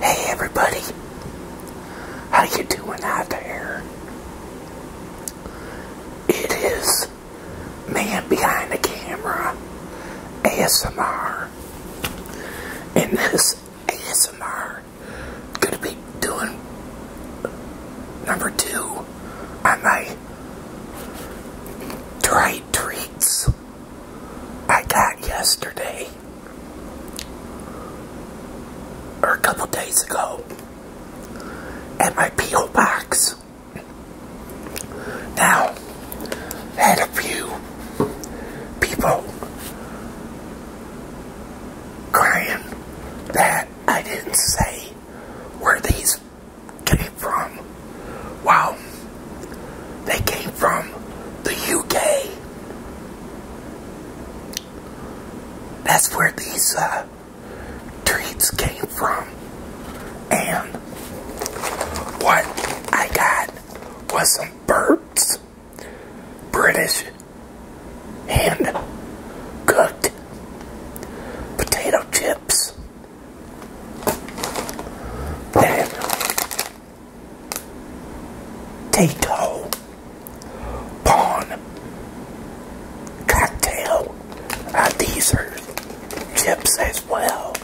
Hey everybody, how you doing out there? It is Man Behind the Camera ASMR, and this ASMR gonna be doing number two on my dried treats I got yesterday or a couple days ago at my P.O. box. Now, had a few people crying that I didn't say where these came from. Wow. They came from the UK. That's where these uh, treats came from. And what I got was some birds, British hand cooked potato chips then, Tato Pawn Cocktail. Uh, these are chips as well.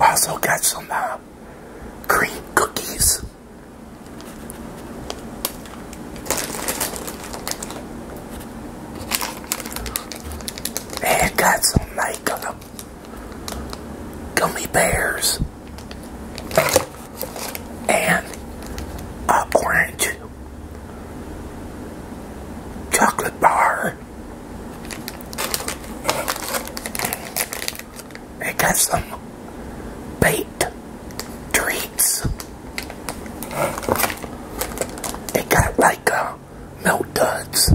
Also got some uh, cream cookies. And got some like uh, gummy bears and a orange chocolate bar. And got some baked treats. They got like a uh, milk duds.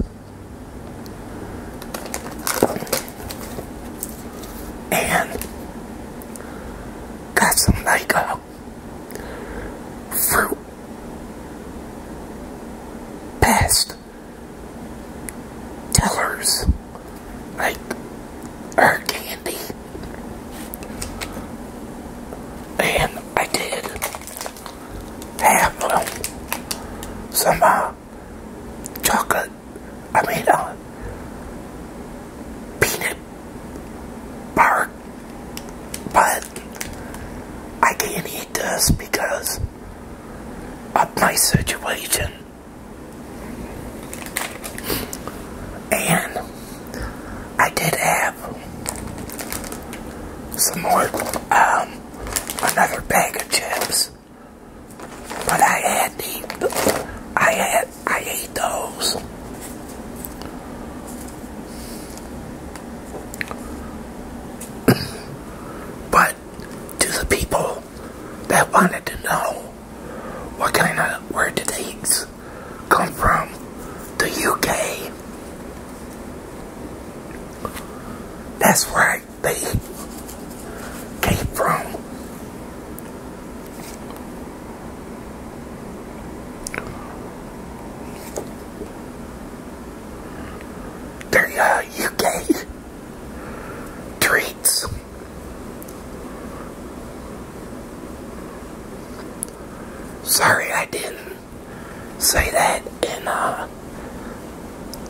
And got some like uh, fruit past tellers like hurricane and I did have some uh, chocolate, I mean, uh, peanut bark, but I can't eat this because of my situation. And I did have some more, um, another bag of chips, but I had the, I had, I ate those. but to the people that wanted to know what kind of, where did these come from? The UK. That's right, they came from. Their UK uh, treats. Sorry I didn't say that in uh,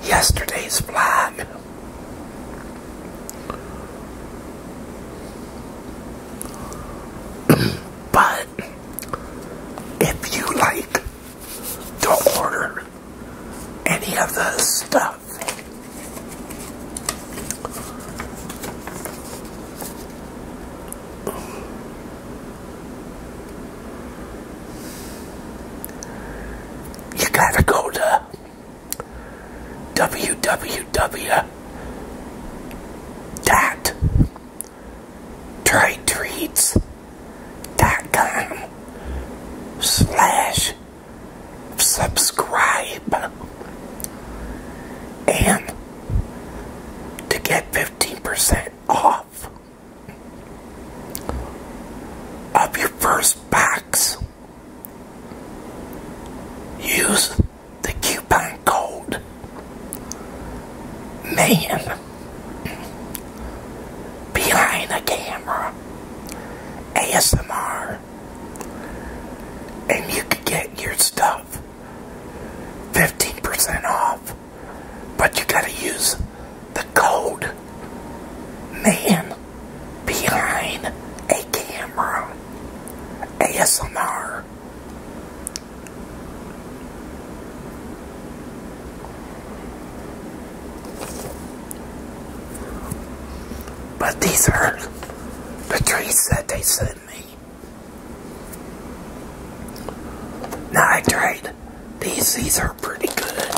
yesterday's vlog. but if you like to order any of the stuff you gotta go to www dot com slash subscribe and to get 15% off of your first box use the coupon code man behind the camera ASMR and you could get your stuff 15% off, but you gotta use the code man behind a camera ASMR. But these are the trees that they said than Now I tried these, these are pretty good.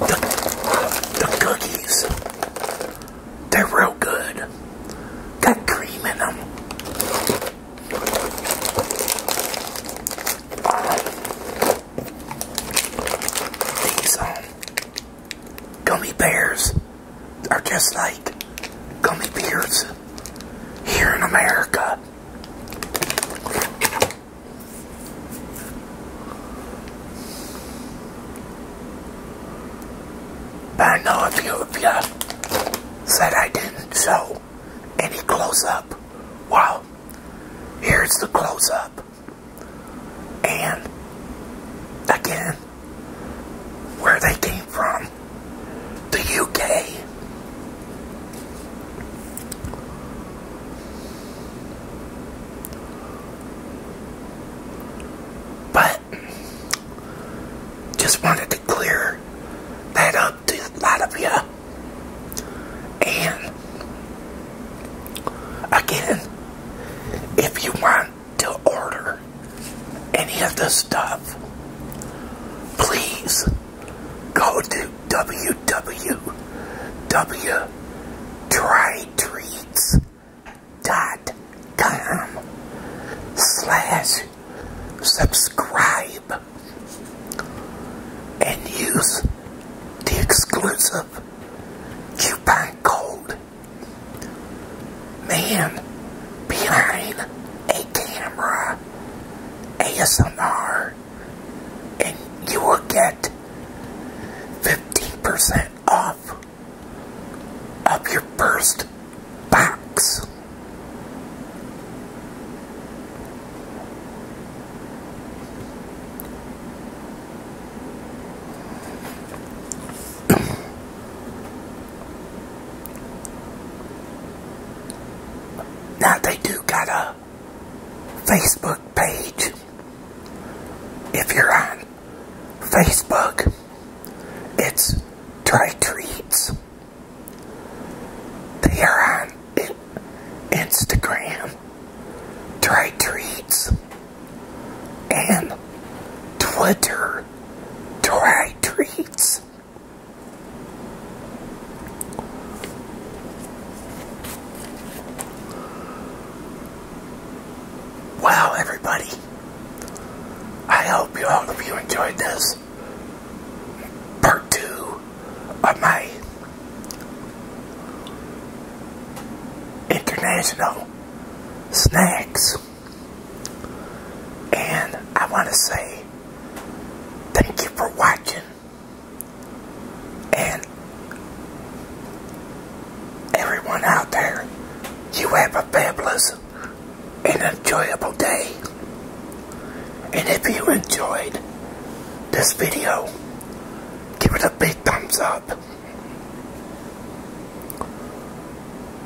The, the cookies, they're real good. Got cream in them. These um, gummy bears are just like gummy bears here in America. But I know a few of you said I didn't show any close-up, well, here's the close-up and again where they came from the UK but just wanted to clear that up to a lot of you and Again, if you want to order any of the stuff, please go to www.trytreats.com slash subscribe and use the exclusive you code, Man, behind a camera, ASMR, and you will get 15% off of your first box. now they do got a Facebook page. If you're on Facebook, it's Try Treats. They are on Instagram, dry Treats, and Twitter, dry Treats. Wow, everybody. I hope you all hope you enjoyed this part two of my international snacks. And I want to say thank you for watching. And everyone out there, you have a fabulous and enjoyable day. And if you enjoyed this video, give it a big thumbs up.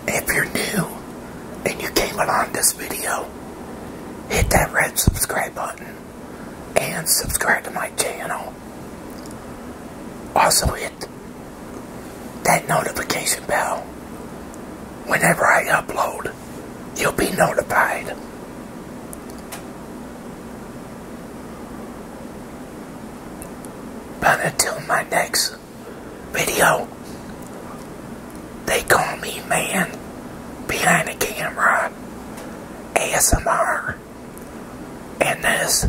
If you're new and you came along this video, hit that red subscribe button and subscribe to my channel. Also hit that notification bell. Whenever I upload, you'll be notified. But until my next video, they call me man behind the camera ASMR. And this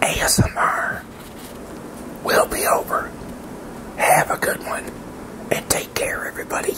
ASMR will be over. Have a good one and take care, everybody.